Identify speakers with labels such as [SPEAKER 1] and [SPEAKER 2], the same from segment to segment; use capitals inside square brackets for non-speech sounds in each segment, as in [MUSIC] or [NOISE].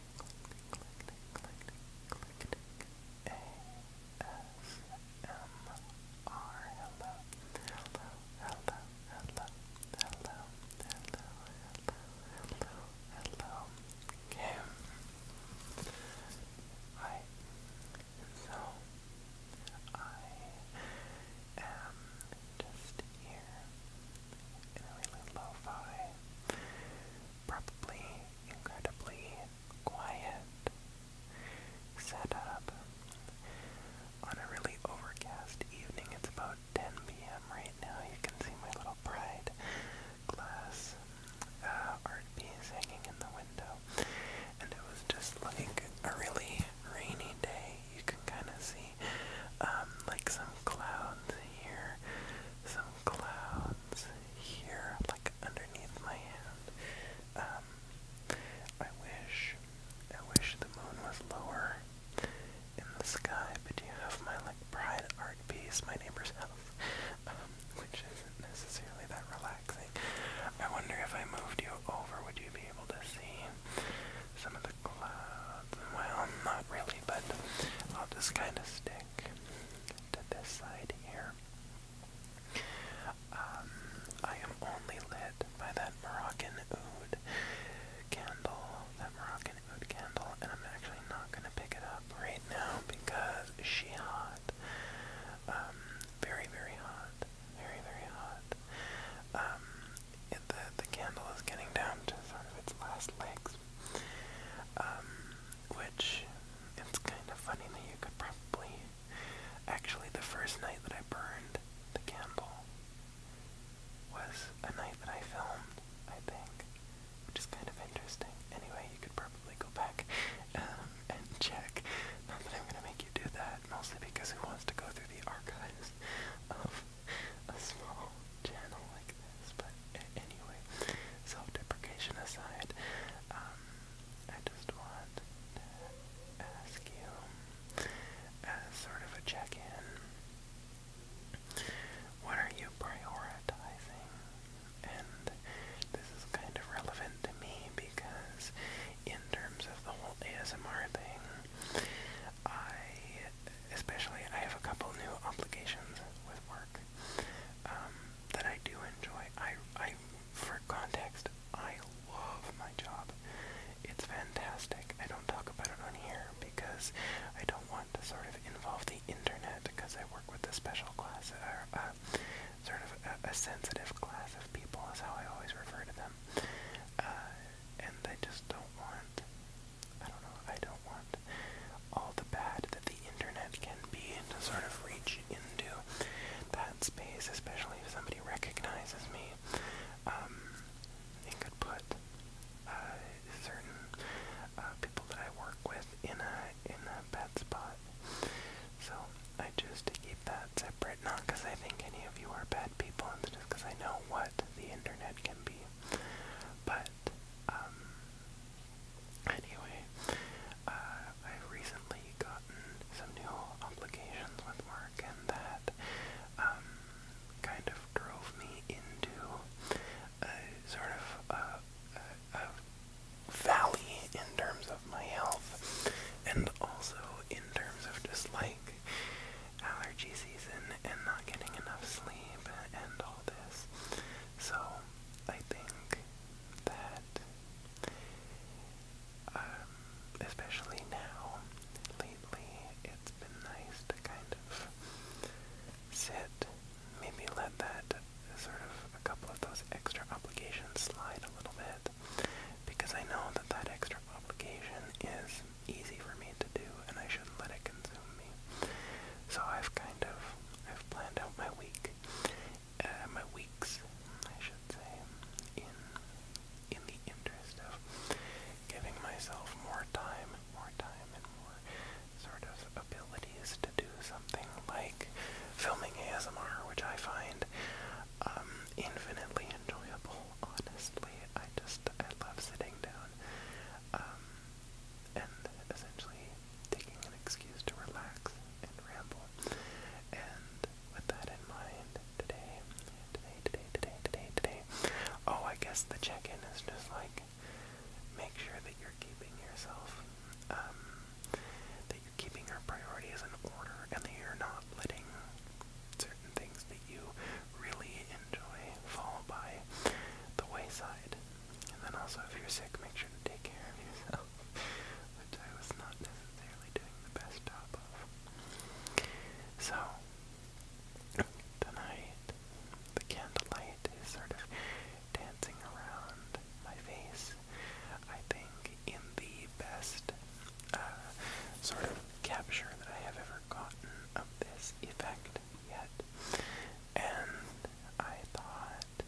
[SPEAKER 1] hello, Kim. Hi. So, I am just here in a really lo-fi probably incredibly quiet setup. On a really overcast evening, it's about 10 p.m. right now. You can see my little pride glass uh, art piece hanging in the window. And it was just like a really rainy day. You can kind of see um, like some clouds here, some clouds here, like underneath my hand. Um, I wish, I wish the moon was lower in the sky, but you have my like bright art piece, my neighbor's house, [LAUGHS] um, which isn't necessarily that relaxing. I wonder if I moved you over, would you be able to see some of the clouds? Well, not really, but I'll just kind of stick to this side here. Um, I am only lit by that Moroccan oud candle, that Moroccan oud candle, and I'm actually not going to pick it up right now because she hot. Um, very, very hot. Very, very hot. Um, the, the candle is getting down to sort of its last legs which it's kind of funny that you could probably. Actually, the first night that I burned the candle was a night that I filmed, I think, which is kind of interesting. Anyway, you could probably go back um, and check. Not that I'm gonna make you do that, mostly because who wants to go through the archives of a small channel like this, but anyway, self-deprecation aside, um, I just want to ask you, as sort of a check-in, what are you prioritizing? And this is kind of relevant to me because in terms of the whole ASMR thing, I, especially, I have a couple new obligations with work um, that I do enjoy. I, I, for context, I love my job. It's fantastic. I don't talk about it on here because I don't want to sort of involve the internet because I work with a special class, or uh, uh, sort of a, a sensitive class of people is how I always refer to them. Uh, and I just don't want I don't know, I don't want all the bad that the internet can be to sort of reach into that space, especially if somebody recognizes me um, and could put uh, certain uh, people that I work with in a, in a bad spot. So I choose to keep that separate, not because I think any of you are bad people, just because I know what the internet can be. But um, Anyway, uh, I've recently gotten some new obligations with work, and that um, kind of drove me into a sort of a, uh, a, a valley in terms of my health, and also in terms of just like allergy season and not getting enough sleep and all this. So I think that, um, especially now, lately, it's been nice to kind of sit, maybe let that sort of a couple of those extra obligations slide a little bit, because I know that that extra obligation is easy for me to do and I shouldn't let it consume me. So I've kind of I've planned out my week, uh, my weeks, I should say, in in the interest of giving myself more time, more time, and more sort of abilities to do something like filming ASMR, which I find um, infinitely enjoyable. Honestly, I just I love sitting down um, and essentially taking an excuse to relax and ramble. And with that in mind, today, today, today, today, today, today, oh, I guess the check in is just like make sure that you're keeping yourself, um, that you're keeping your priorities in order and that you're not letting certain things that you really enjoy fall by the wayside. And then also, if you're sick, make sure to take care of yourself, [LAUGHS] which I was not necessarily doing the best job of. So, tonight, the candlelight is sort of dancing around my face, I think, in the best uh, sort of capture that I have ever gotten of this effect yet. And I thought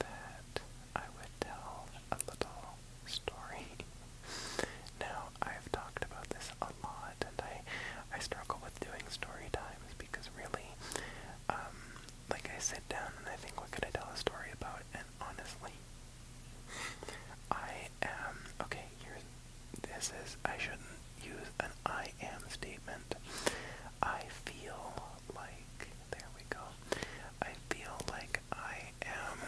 [SPEAKER 1] that I would tell a little story. Now, I've talked about this a lot, and I, I struggle with doing story times because really, um, like I sit down and I think, what could I tell a story about? And honestly, I am, okay, here's, this is, I shouldn't use an I am statement. I feel like, there we go, I feel like I am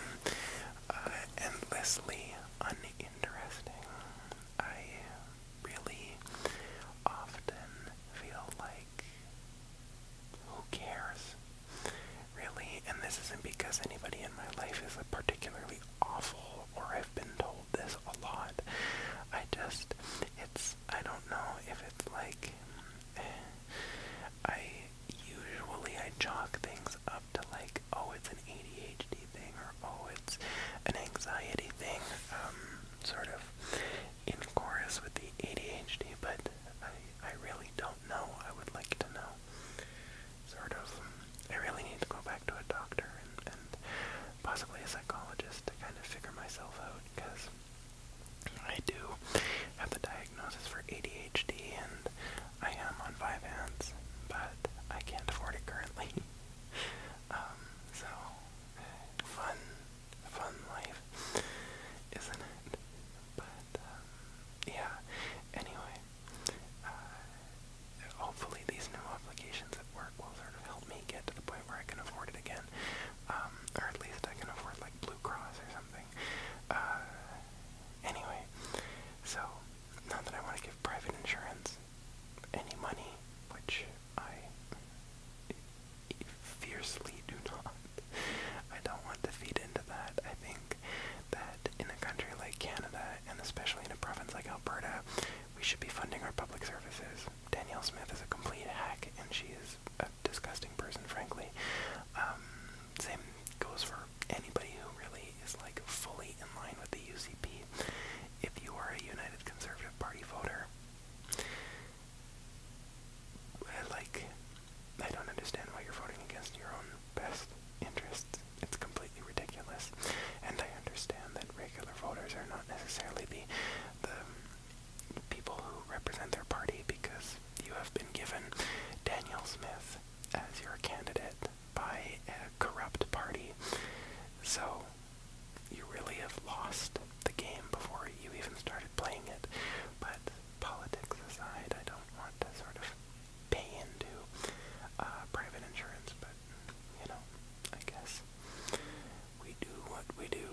[SPEAKER 1] uh, endlessly uninteresting. I really often feel like, who cares? Really, and this isn't because anybody in my life is particularly awful or I've been told this a lot. I just, it's it's I don't know if it's like eh, I usually I chalk things up to like oh it's an ADHD thing or oh it's an anxiety thing um sort of in chorus with the ADHD but I I really don't know I would like to know sort of I really need to go back to a doctor and and possibly a psychologist to kind of figure myself out because I do have the diagnosis for ADHD and I am on Vyvanse, but I can't afford it currently. [LAUGHS] Um, so, fun, fun life, isn't it? But, um, yeah, anyway, uh, hopefully these new obligations at work will sort of help me get to the point where I can afford it again um, or at least I can afford like Blue Cross or something. Uh, anyway, so not that I want to give private insurance any money, which I fiercely do [LAUGHS] not. I don't want to feed into that. I think that in a country like Canada, and especially in a province like Alberta, we should be funding our public services. Danielle Smith is a complete hack, and she is a disgusting person, frankly. Um, same goes for anybody who really is like fully in line with the UCP. If you are a United Conservative Party voter, like, I don't understand why you're voting against your own best interests. It's completely ridiculous. And I understand that regular voters are not necessarily the the people who represent their party because you have been given Daniel Smith as your candidate by a corrupt party. So you really have lost the game before you even started playing it. But politics aside, I don't want to sort of pay into uh, private insurance, but you know, I guess we do what we do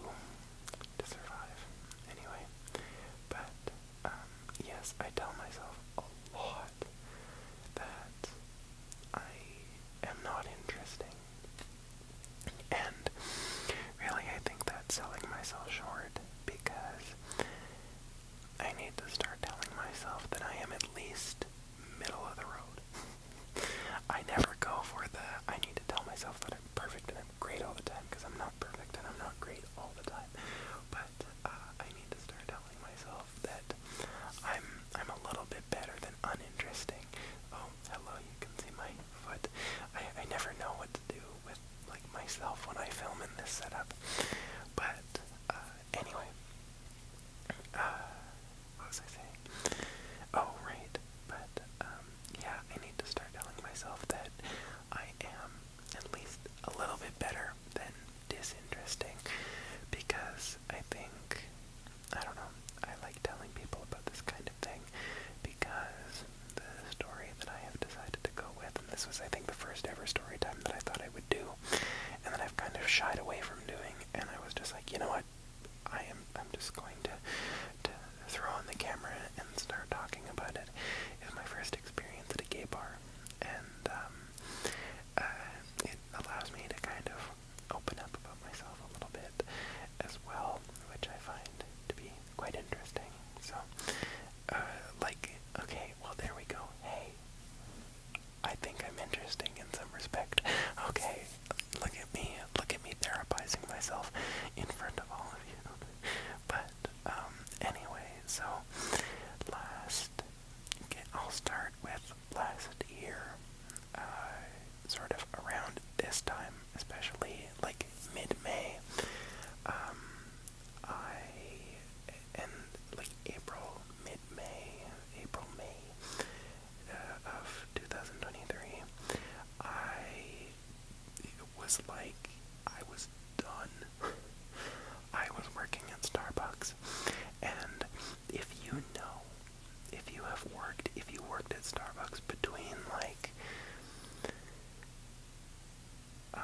[SPEAKER 1] to survive. Anyway, but um, yes, I tell myself a lot that I am not interesting. And really, I think that's selling myself short because I need to start telling myself that I am at least middle of the road. I never go for the I need to tell myself that I'm perfect and I'm great all the time because I'm not perfect and I'm not great all the time. But uh, I need to start telling myself that I'm I'm a little bit better than uninteresting. Oh, hello, you can see my foot. I I never know what to do with like myself when I film in this setup. But uh, anyway, uh, what was I saying? Oh, right. But, um, yeah, I need to start telling myself that I am at least a little bit better than disinteresting because I think, I don't know, I like telling people about this kind of thing because the story that I have decided to go with, and this was, I think, the first ever story time that I thought I would do, and that I've kind of shied away from doing, and I was just like, you know what? I am I'm just going to to throw on the camera and start talking about it. It was my first experience at a gay bar, and um, uh, it allows me to kind of open up about myself a little bit as well, which I find to be quite interesting. So, uh, like, okay, well there we go. Hey, I think I'm interesting in some respect. Okay, Look at me, look at me therapizing myself in front of all of you. [LAUGHS] But um, anyway, so last, okay, I'll start with last year, uh, sort of around this time, especially like mid-May. Um, I and like April, mid-May, April, May of 2023, I was like I was done. [LAUGHS] I was working at Starbucks, and if you know, if you have worked, if you worked at Starbucks between like, um,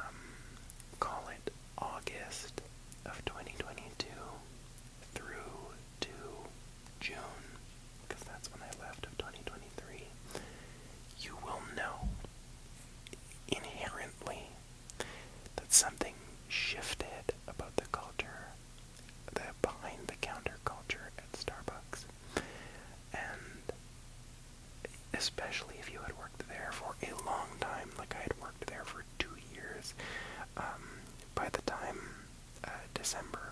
[SPEAKER 1] call it August of 2022 through to June, because that's when I left of 2023, you will know inherently that something shifted about the culture, the behind the counter culture at Starbucks. And especially if you had worked there for a long time, like I had worked there for two years, um, by the time uh, December,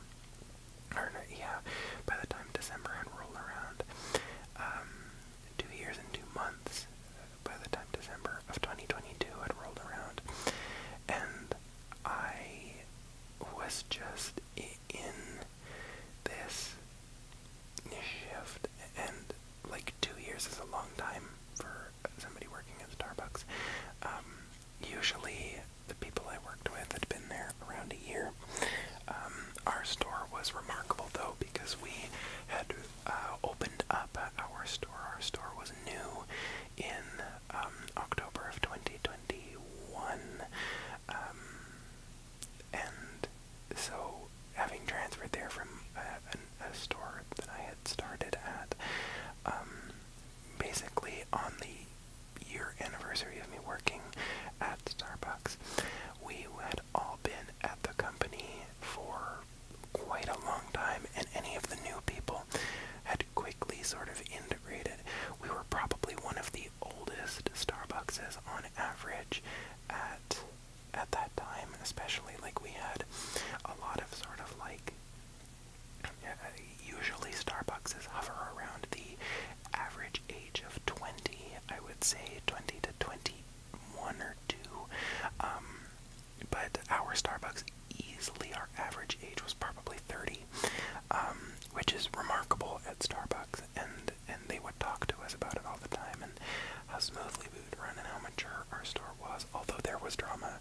[SPEAKER 1] yeah, by the time December had rolled around, um, two years and two months, uh, by the time December of 2022 had rolled around, and I was just in this shift, and like two years is a long time for somebody working at Starbucks. Um, usually the people I worked with had been there around a year. Um, our store was remarkable though because we had uh, opened up our store. Our store was new in um, October of 2021. Um, and so, having transferred there from uh, a, store that I had started at, basically on the year anniversary of me working at Starbucks, we had all been at the company for quite a long time, and any of the new people had quickly sort of integrated. We were probably one of the oldest Starbuckses on average at at that time, especially like we had a lot of sort of like usually Starbucks is hover around the average age of 20, I would say 20 to 21 or 2. Um, but our Starbucks easily, our average age was probably 30, um, which is remarkable at Starbucks. And, and they would talk to us about it all the time and how smoothly we would run and how mature our store was. Although there was drama,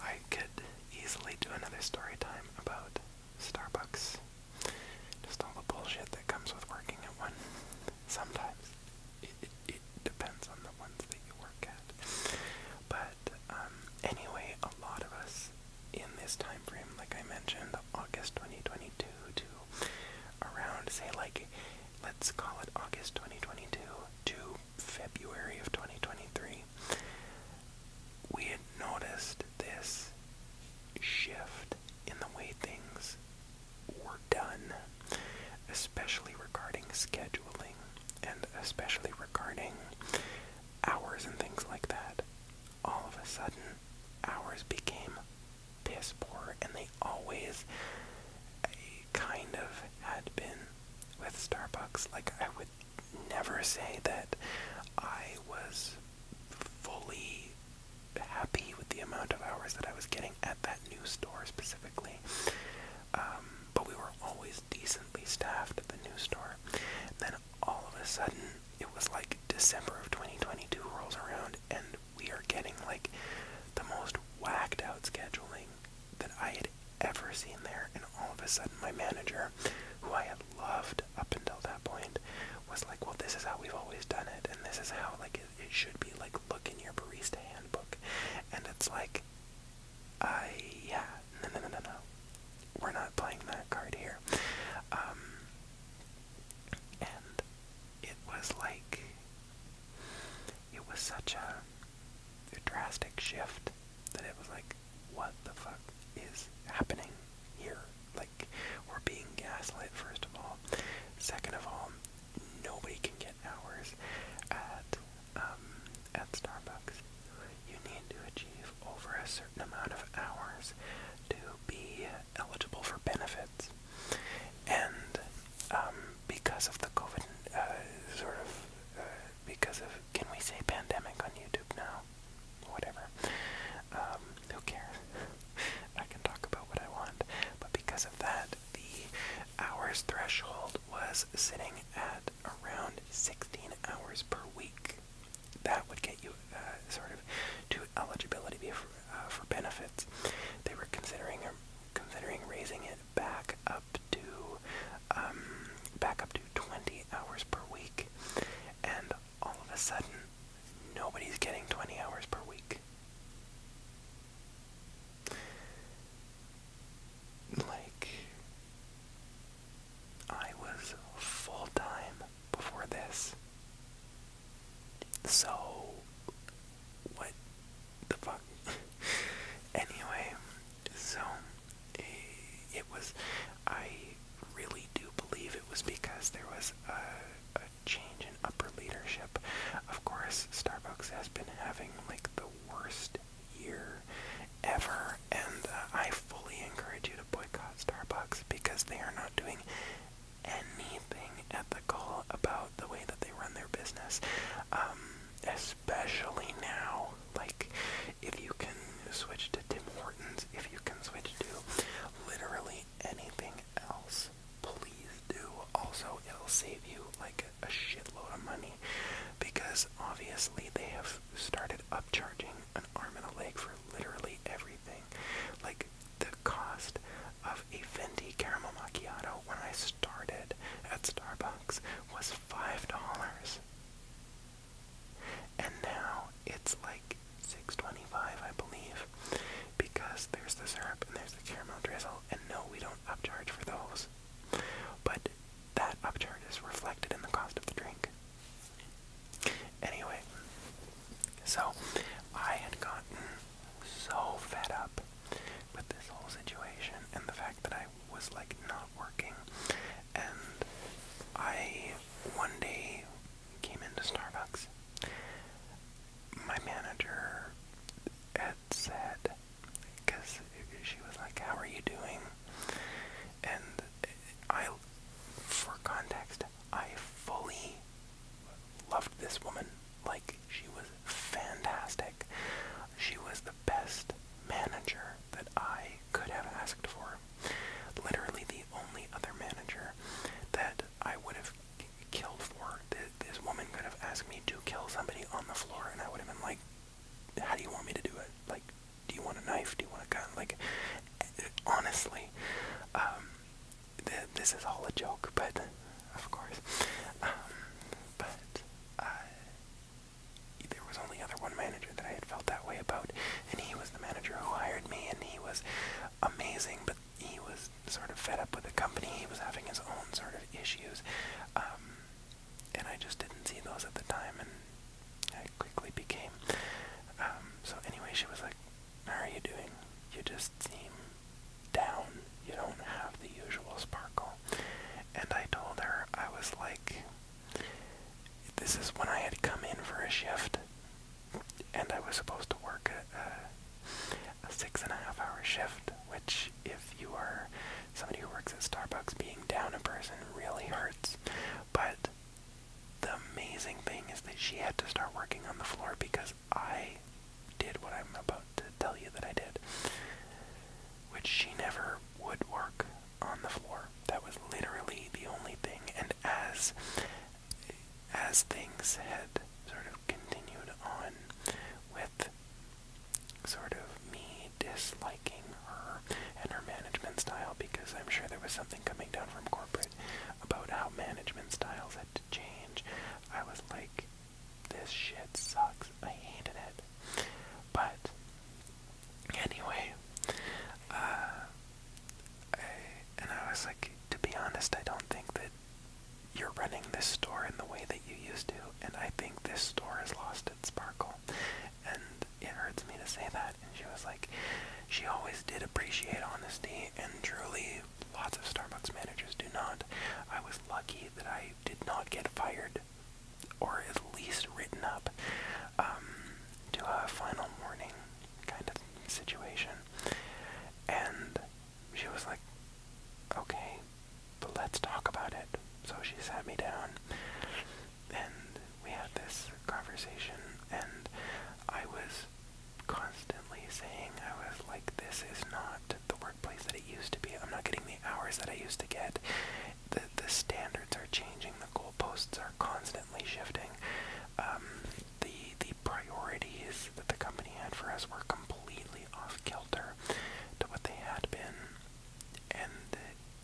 [SPEAKER 1] I could easily do another story time about Starbucks. Just all the bullshit that comes with working at one. Sometimes it, it, depends on the ones that you work at. But um, anyway, a lot of us in this time frame, like I mentioned, August 2022 to around, say, like, let's call it August 2022 to February of 2023, we had noticed this shift in the way things were done, especially regarding scheduling and especially regarding hours and things like that. All of a sudden, hours became piss poor, and they always kind of had been with Starbucks. Like, I would never say that I was fully happy with the amount of hours that I was getting at that new store specifically. Um, but we were always decently staffed at the new store. then all of a sudden, it was like December of 2022 rolls around, and we are getting like the most whacked out scheduling that I had ever seen there. And all of a sudden, my manager, who I had loved had up until that point was like, well, this is how we've always done it, and this is how like it, it should be. Like, look in your barista handbook, and it's like, I yeah, no, no, no, no, no, we're not playing that card here. Um, and it was like, it was such a, a drastic shift that it was like, what the fuck is happening here? Like, we're being gaslit, first of all. Second of all, nobody can get hours at, um, at Starbucks. You need to achieve over a certain amount of hours to be eligible for benefits. And um, because of the COVID, uh, sort of, uh, because of, can we say pandemic on YouTube now? whatever. Um, who cares? [LAUGHS] I can talk about what I want. But because of that, the hours threshold was sitting at around 16 hours per week. That would get you uh, sort of to eligibility for, uh, for benefits. They were considering um, considering raising it back up to um, back up to 20 hours per week and all of a sudden, nobody's getting 20 hours per week. Like, I was full time before this. So, what the fuck? [LAUGHS] anyway, so Eh, it was, I really do believe it was because there was a, a change in upper leadership. Of course, Starbucks has been having like the worst year ever, and uh, I fully encourage you to boycott Starbucks because they are not doing anything ethical about the way that they run their business, um, especially now like, if you can switch to Tim Hortons, if you can switch to literally anything else, please do. Also, it'll save you like a shitload of money because obviously they have started upcharging an arm and a leg for literally everything. Like, the cost of a Venti caramel macchiato when I started at Starbucks was $5. And now it's like 6.25, I believe, because there's the syrup and there's the caramel drizzle, and no, we don't upcharge for those. But that upcharge is reflected in the cost of the drink. Anyway, so I had gotten so fed up with this whole situation and the fact that I was like not working and I one day came into Starbucks. My manager had said, because she was like, How are you doing? And I, for context, I fully loved this woman. Like, she was fantastic. She was the best manager that I could have asked for. Literally, the only other manager that I would have killed for, this woman could have asked me to kill somebody on the floor, and I would have been like, "How do you want me to do it? Like, do you want a knife? Do you want a gun? Like, honestly, um, this is all a joke, but of course, um, but." Uh, there was only other one manager that I had felt that way about, and he was the manager who hired me, and he was amazing, but he was sort of fed up with the company. He was having his own sort of issues, um, and I just didn't see those at the time, and I quickly became. Um, so anyway, she was like, "How are you doing? You just seem down. You don't have the usual sparkle." And I told her I was like this is when I had come in for a shift, and I was supposed to work a, six and a half hour shift, which, if you are somebody who works at Starbucks, being down a person really hurts. But the amazing thing is that she had to start working on the floor because I did what I'm about to tell you that I did, which she never would work on the floor. That was literally the only thing. And as as things had sort of continued on with sort of me disliking her and her management style, because I'm sure there was something coming down from corporate about how management styles had to change, I was like, this shit sucks. I hated it. But anyway, uh, I, and I was like, to be honest, I don't think that you're running this store in the way that you used to, and I think this store has lost its sparkle. And it hurts me to say that. And she was like, she always did appreciate honesty, and truly, lots of Starbucks managers do not. I was lucky that I did not get fired, or at least written up um, a final morning kind of situation. And she was like, okay, but let's talk about it. So she sat me down and we had this conversation, and I was constantly saying, I was like, this is not the workplace that it used to be. I'm not getting the hours that I used to get the, the standards are changing, the goalposts are constantly shifting. Um, the the priorities that the company had for us were completely off kilter to what they had been, and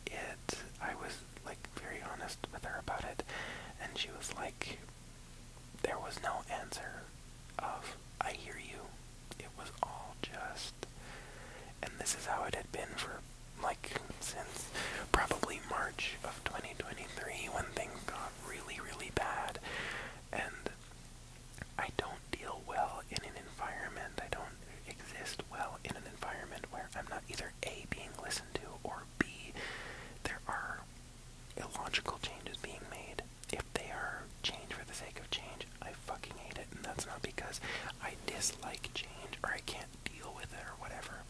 [SPEAKER 1] it. I was like very honest with her about it, and she was like, there was no answer of I hear you. It was all just, and this is how it had been for like since probably March of 2023 when things got really, really bad. And I don't deal well in an environment, I don't exist well in an environment where I'm not either A, being listened to, or B, there are illogical changes being made. If they are change for the sake of change, I fucking hate it. And that's not because I dislike change or I can't can't deal with it or whatever.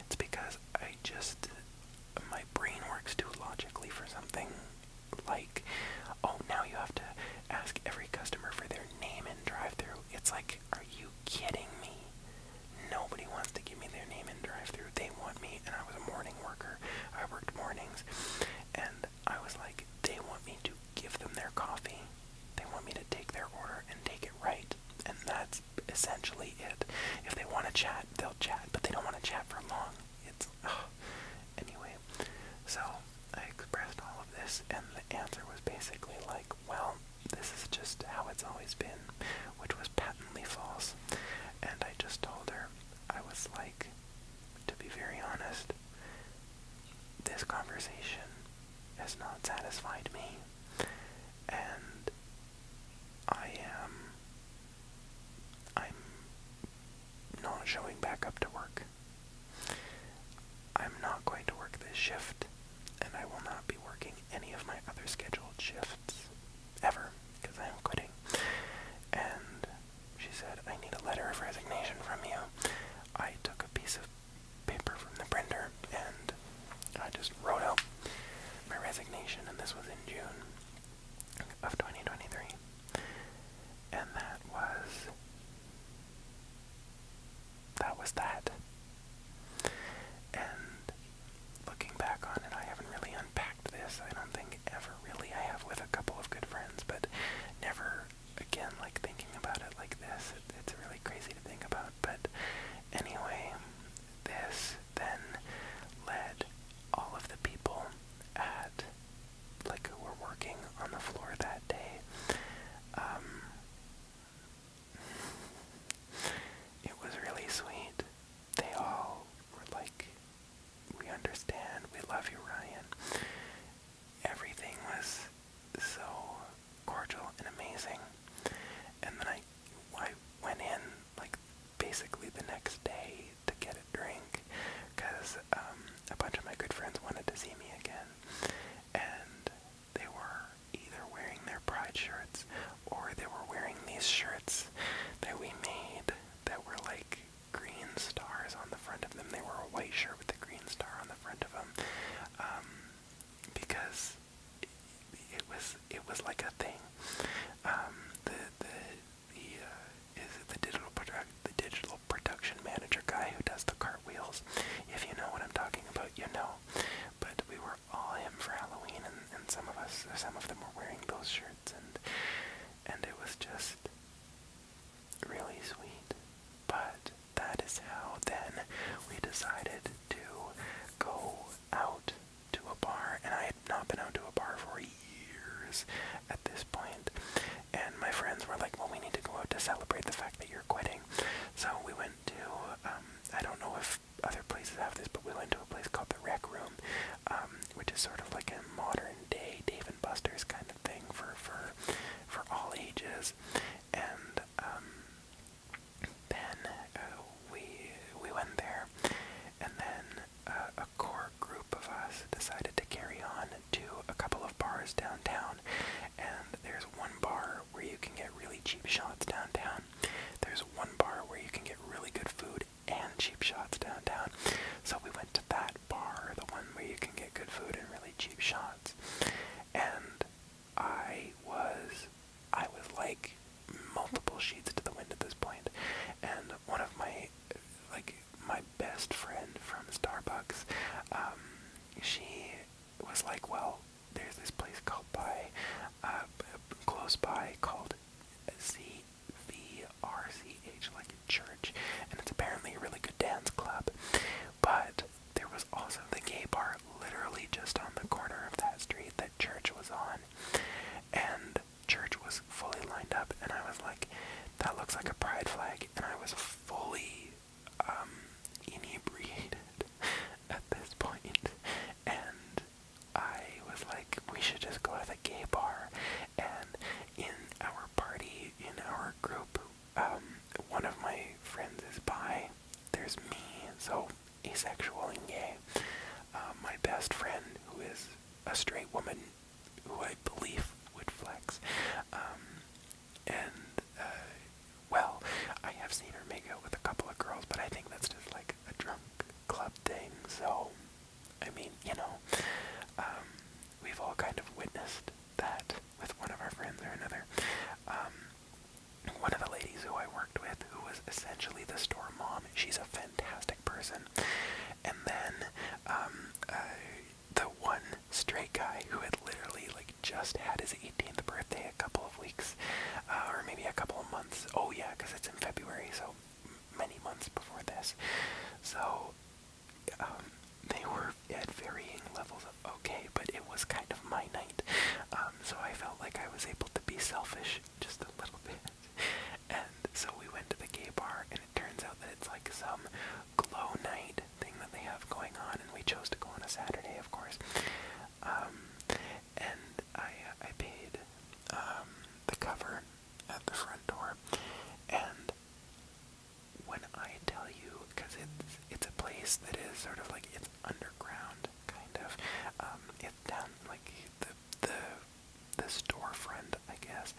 [SPEAKER 1] It's because I just my brain works too logically for something like oh now you have to ask every customer for their name and drive-through. It's like are you kidding me? Nobody wants to give me their name and drive-through. They want me and I was a morning worker. I worked mornings and I was like they want me to give them their coffee. They want me to take their order and take it right. And that's essentially it. If they want to chat, they'll chat, but they don't want to chat for long. It's anyway. So I expressed all of this, and the answer was basically like, "Well, this is just how it's always been," which was patently false. And I just told her I was like, to be very honest, this conversation has not satisfied me and I am I'm not showing back up to work. I'm not going to work this shift, and I will not be working any of my other scheduled shifts ever because I am quitting. And she said, I need a letter of resignation from you. I took a piece of paper from the printer, and I just wrote out my resignation, and this was in June of 2023. And that was. That And looking back on it, I haven't really unpacked this. I don't think ever really. I have with a couple of good friends, but never again like thinking about it like this it's really crazy to think about. But anyway, this then led all of the people at like who were working on the floor that day. Um, it was really sweet. They all were like, "We understand. We love you, Ryan." Everything was so cordial and amazing. And then I, I went in like basically the next day to get a drink because um, a bunch of my good friends wanted to see me again. And they were either wearing their pride shirts or they were wearing these shirts that we made that were like green stars on the front of them. They were a white shirt with a green star on the front of them. Um, because it was it was like a thing. Um, the the the uh, is it the digital product the digital production manager guy who does the cartwheels. If you know what I'm talking about, you know. But we were all him for Halloween, and, and some of us, some of them were wearing those shirts, and and it was just really sweet. But that is how then we decided to go out to a bar, and I had not been out to a bar for years at this point. And my friends were like, "Well, we need to go out to celebrate the fact that you're quitting." So we went to um, I don't know if other places have this, but we went to a place called the Rec Room, um, which is sort of like a modern day Dave and Buster's kind of thing for for for all ages, and. Um, then uh, we we went there, and then uh, a core group of us decided to carry on to a couple of bars downtown. And there's one bar where you can get really cheap shots downtown. There's one bar where you can get really good food and cheap shots downtown. So we went to that bar, the one where you can get good food and really cheap shots. And I was I was like multiple sheets to the wind at this point, and one of my like my best friend from Starbucks, um, she was like, well, there's this place called by uh, close by called C V R C H like a church, and it's apparently a really good dance club, but there was also the gay bar literally just on the corner of that street that church was on. And church was fully lined up and I was like, that looks like a pride flag and I was fully um, inebriated [LAUGHS] at this And I was like, we should just go to the gay bar and in our party, in our group, um, one of my friends is by. There's me, so asexual and gay. Uh, my best friend, who is a straight woman, who I believe would flex, um, and uh, well, I have seen her make out with a couple of girls, but I think that's just like a drunk club thing. So, I mean, you know, um, we've all kind of witnessed that with one of our friends or another. Um, one of the ladies who I worked with, who was essentially the store mom, she's a fantastic person. And then um, uh, the one straight guy who had literally like just had his 18th birthday a couple of weeks, uh, or maybe a couple of months. Oh yeah, because it's in February, so many months before this. So um, they were at varying levels of okay, but it was kind of my night. Um, um, so I felt like I was able to be selfish just a little bit. [LAUGHS] And so we went to the gay bar, and it turns out that it's like some glow night thing that they have going on, and we chose to go on a Saturday, of course. Um, and I, uh, I paid um, the cover at the front door, and when I tell you, because it's, it's a place that is sort of like it's underground, kind of. Um, it's down like the the the storefront, I guess,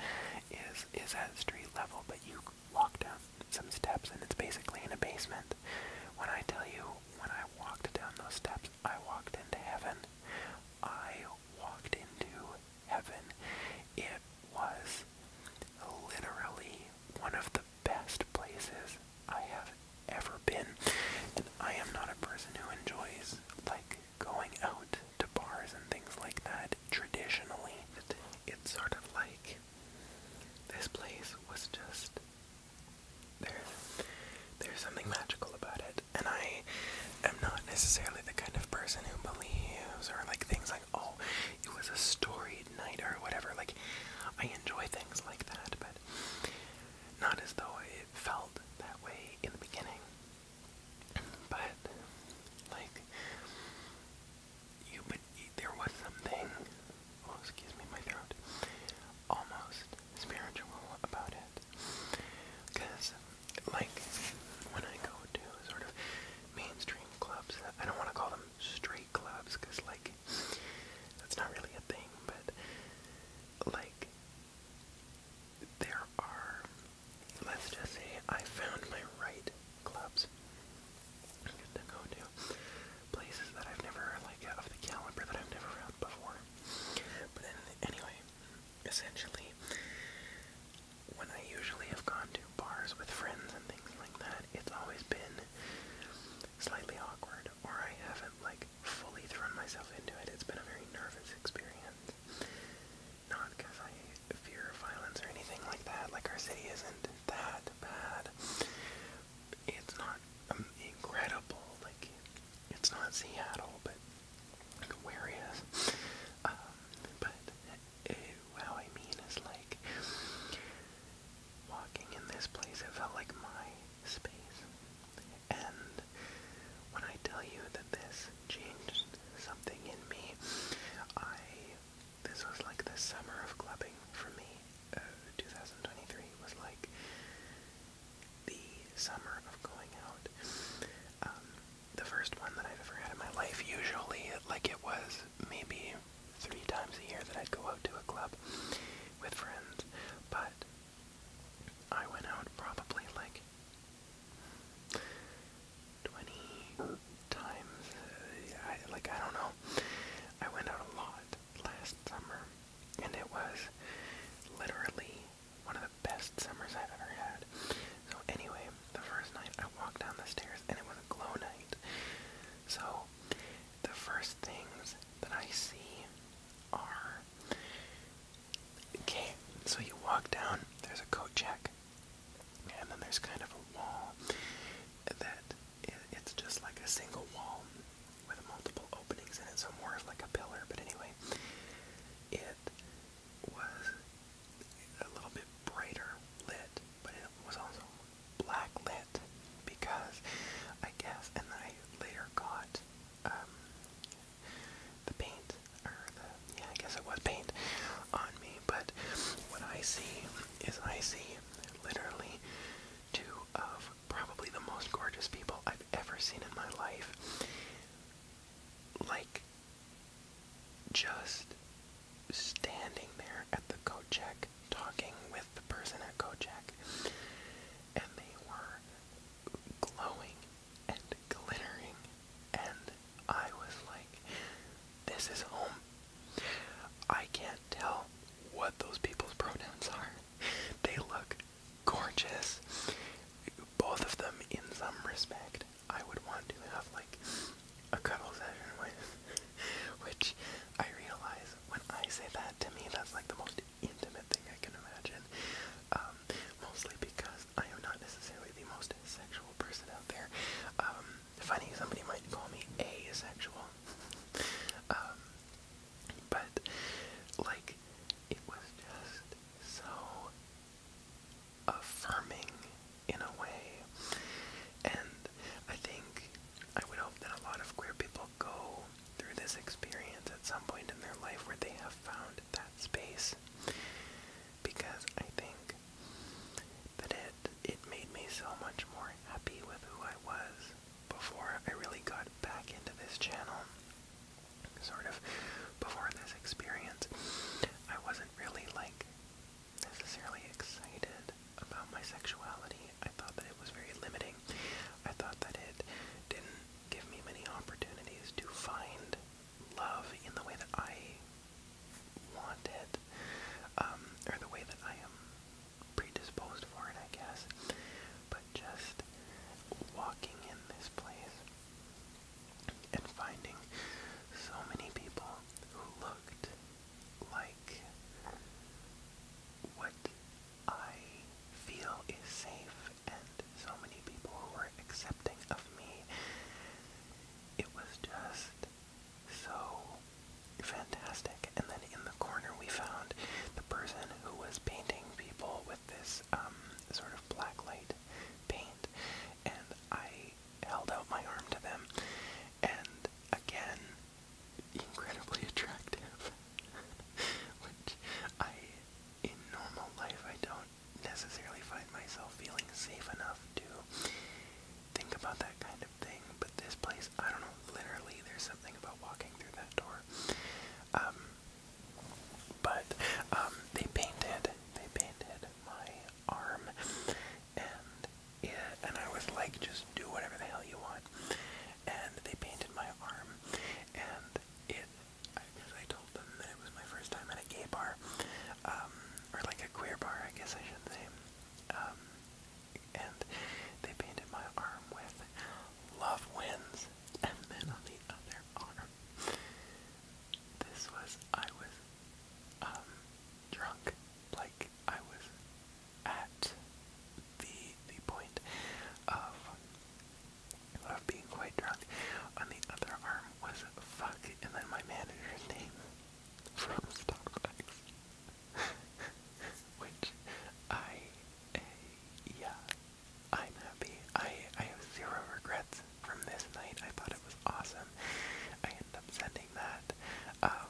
[SPEAKER 1] is is at street level, but you walk down some steps and it's basically in a basement. When I tell you, when I walked down those steps, I walked into heaven. I walked into heaven. It was literally one of the best places I have ever been. And I am not a person who enjoys like going out to bars and things like that traditionally. It, it's sort of like this place was just there's there's something magical about it. And I am not necessarily the kind of person who believes or like things like, oh, it was a storied night or whatever. Like I enjoy things like that, but not as though it felt that way in the beginning, but like you, but there was something. Oh, excuse me, my throat. Almost spiritual about it, because like when I go to sort of mainstream clubs, I don't want to call them straight clubs, because like like that's not really a thing, but like there are let's just say I found my right clubs to go to places that I've never like of the caliber that I've never found before. But anyway, essentially when I usually have gone to bars with friends and things like that, it's always been slightly awkward hard or I haven't like fully thrown myself into it. It's been a very nervous experience. Not because I fear violence or anything like that. Like our city isn't that bad. It's not um, incredible. Like it's not Seattle, but like, where is? Um, but uh, eh, what I mean is like walking in this place, it felt like my space. And when I tell you that this changed something in me, I this was like the summer of clubbing for me. Uh, 2023 was like the summer of going out. Um, the first one that I've ever had in my life. Usually, like it was maybe three times a year that I'd go out to a club with friends, but I went out probably like 20 times. Uh, like, I don't know. I went out a lot last summer, and it was literally one of the best summers I've ever had. So, anyway, the first night I walked down the stairs, and it was a glow night. So, the first things that I see Okay, so you walk down, there's a coat check, and then there's kind of a wall that it's just like a single wall with multiple openings in it, so more of like a pillar, but anyway, it was a little bit brighter lit, but it was also black lit because I guess, and then I later got um, the paint, or the, yeah, I guess it was paint on me, but what I see is I see literally two of probably the most gorgeous people I've ever seen in my life. Like, just standing there at the coat check talking with the person at Kojak, and they were glowing and glittering, and I was like, this is home. I can't tell what those people's pronouns are. They look gorgeous. Both of them, in some respect, I would want to have like a cuddle session with. [LAUGHS] Which I realize when I say that to me, that's like the most intimate thing I can imagine. Um, mostly because I am not necessarily the most sexual person out there. Um, funny, somebody might call me asexual. um, but, like, it was just so affirming in a way. And I think I would hope that a lot of queer people will go through this experience at some point in their life where they have found that space because I think that it it made me so much more happy with who I was before I really got back into this channel. Sort of before this experience, I wasn't really like necessarily excited about my sexuality. I thought that it was very limiting I thought that it didn't give me many opportunities to find love in the way that I want it, um, or the way that I am predisposed for it, I guess. But just walking in this place and finding so many people who looked like what I feel is safe and so many people who were accepting of me. It was just so fantastic. And then in the corner we found the person who was painting people with this um, sort of black light paint. And I held out my arm to them. And again, incredibly attractive, [LAUGHS] which I, in normal life, I don't necessarily find myself feeling safe enough to think about that kind of thing. But this place, I don't know, literally, there's something about walking through that door. Um, but um, they painted, they painted my arm, and yeah, and I was like, just do whatever the hell you want and they painted my arm, and it, because I told them that it was my first time at a gay bar, um, or like a queer bar, I guess I should say, um, and they painted my arm with "Love Wins," and then on the other arm, this was I was um, drunk, like I was at the point of of being quite drunk. On the other arm was fuck, and then my manager's name from Starbucks, [LAUGHS] which I, yeah, I'm happy. I I have zero regrets from this night. I thought it was awesome. I end up sending that. Um,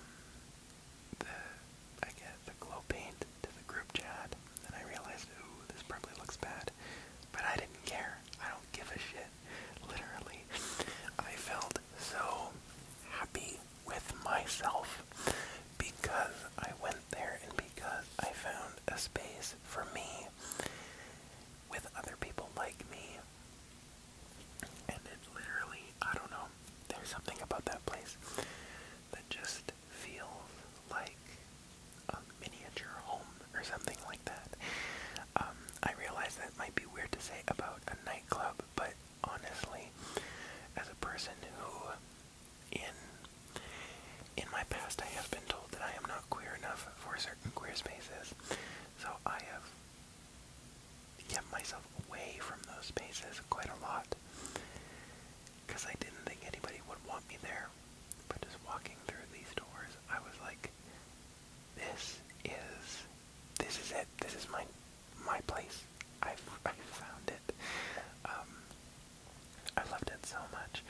[SPEAKER 1] I get the glow paint to the group chat, and I realized, ooh, this probably looks bad. But I didn't care. I don't give a shit. Literally, I felt so happy with myself because I went there and because I found a space for me with other people like me. And it literally, I don't know, there's something about that place that just feels like a miniature home or something like that. Um, I realize that might be weird to say about a nightclub, but honestly, as a person who in in my past I have been told that I am not queer enough for certain queer spaces, so I have kept myself away from those spaces quite a lot because I didn't think anybody would want me there. But just walking through these doors, I was like, this is, this is it. This is my, my place. I've, I found it. Um, I loved it so much.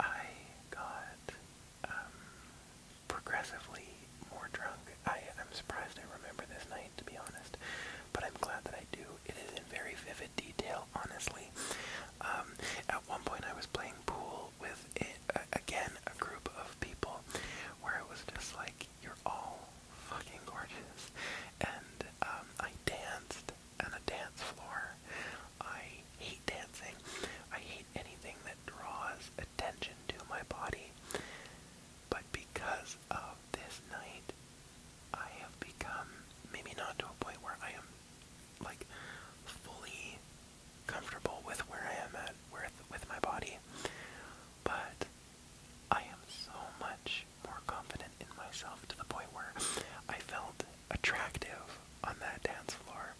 [SPEAKER 1] I got um, progressively more drunk. I, I'm surprised I remember this night to be honest. But I'm glad that I do. It is in very vivid detail, honestly. Um, at one point, I was playing pool with, again, a group of people where it was just like, you're all fucking gorgeous. And um, I danced on a dance floor. I hate dancing. I hate anything that draws attention to my body. But because of this night, I have become maybe not to a point where I am like fully comfortable with where I am at with with my body, but I am so much more confident in myself to the point where I felt attractive on that dance floor,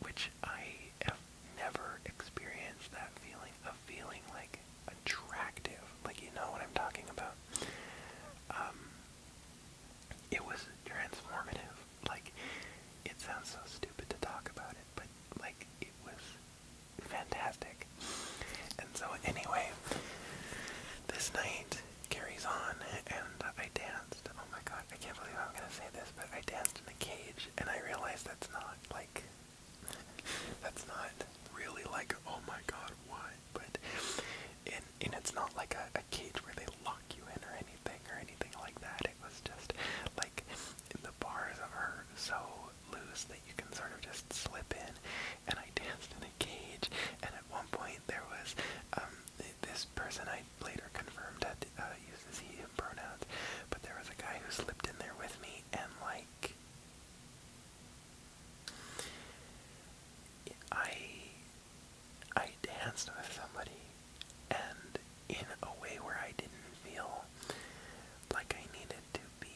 [SPEAKER 1] which I have never experienced that feeling of feeling like attractive. Like, you know what I'm talking about. Um, it was transformative. Like, it sounds so stupid to talk about it, but like, it was fantastic. And so, anyway, this night carries on, and I danced. Oh my god, I can't believe I'm gonna say this, but I danced in a cage, and I realized that's not like. That's not really like, oh my god, what? but and and it's not like a, a cage where they lock you in or anything or anything like that. It was just like the bars of her so loose that you can sort of just slip in. And I danced in a cage. And at one point there was um this person I later confirmed had uh, uses he him pronouns, but there was a guy who slipped in there with me and like I I danced with somebody and in a way where I didn't feel like I needed to be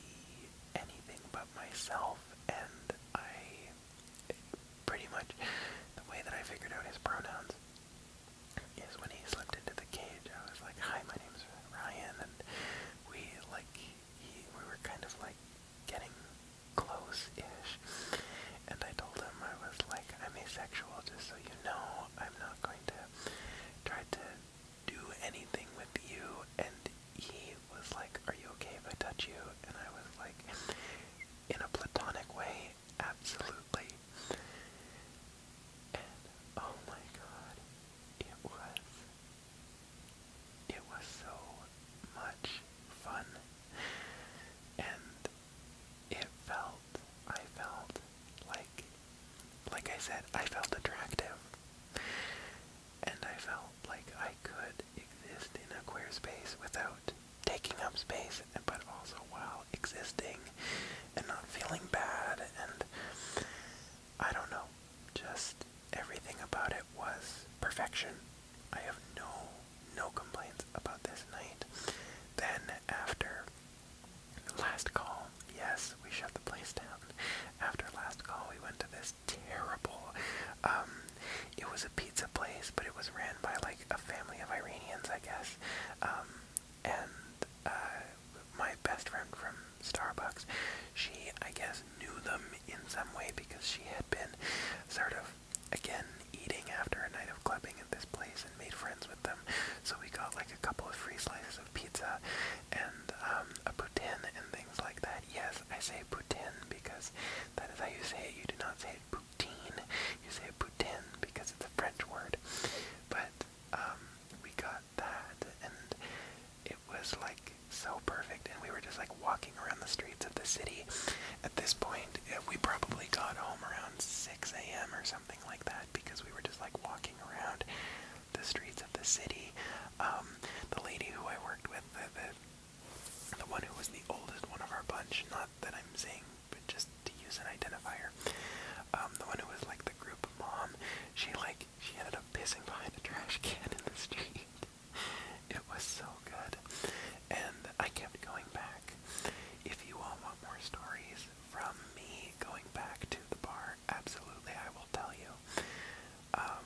[SPEAKER 1] anything but myself and I pretty much the way that I figured out his pronouns is when he slipped into the cage I was like, Hi, my name's Ryan and we like he, we were kind of like getting close-ish, and I told him I was like, I'm asexual, just so you know, I'm not going to try to do anything with you, and he was like, are you okay if I touch you? And I was like, in a platonic way, absolutely. And oh my god, it was it was so much fun. And it felt, I felt like, like I said, I felt attractive. And I felt like I could exist in a queer space without taking up space, but also while existing and not feeling bad. And I don't know just everything about it was perfection. I have no no complaints about this night. Then after last call, yes, we shut the place down. After last call, we went to this terrible. Um, it was a pizza place, but it was ran by like a family of Iranians, I guess. Um, and uh, my best friend from Starbucks, she I guess knew them in some way because she had been sort of, again, eating after a night of clubbing at this place and made friends with them. So we got like a couple of free slices of pizza and um, a poutine and things like that. Yes, I say poutine because that is how you say it. You do not say it poutine. You say it poutine because it's a French word. But um, we got that and it was like so perfect and we were just like walking around the streets of the city at this point uh, we probably got home around 6 a.m or something like that because we were just like walking around the streets of the city um, the lady who i worked with the, the, one who was the oldest one of our bunch not that i'm saying but just to use an identifier um, the one who was like the group mom she like she ended up pissing behind a trash can in the street it was so good. And I kept going back. If you all want more stories from me going back to the bar, absolutely, I will tell you. Um,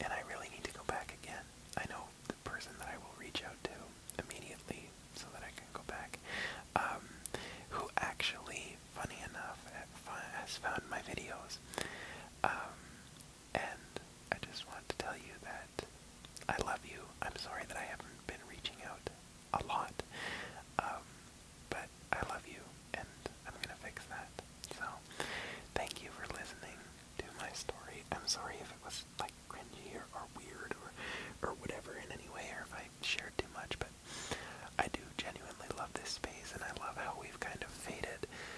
[SPEAKER 1] and I really need to go back again. I know the person that I will reach out to immediately so that I can go back. Um, who actually, funny enough, has found my videos. Um, and I just want to tell you that I love you. I'm sorry that I haven't been reaching out a lot, um, but I love you, and I'm gonna fix that. So, thank you for listening to my story. I'm sorry if it was like cringy or, or weird or or whatever in any way, or if I shared too much, but I do genuinely love this space, and I love how we've kind of faded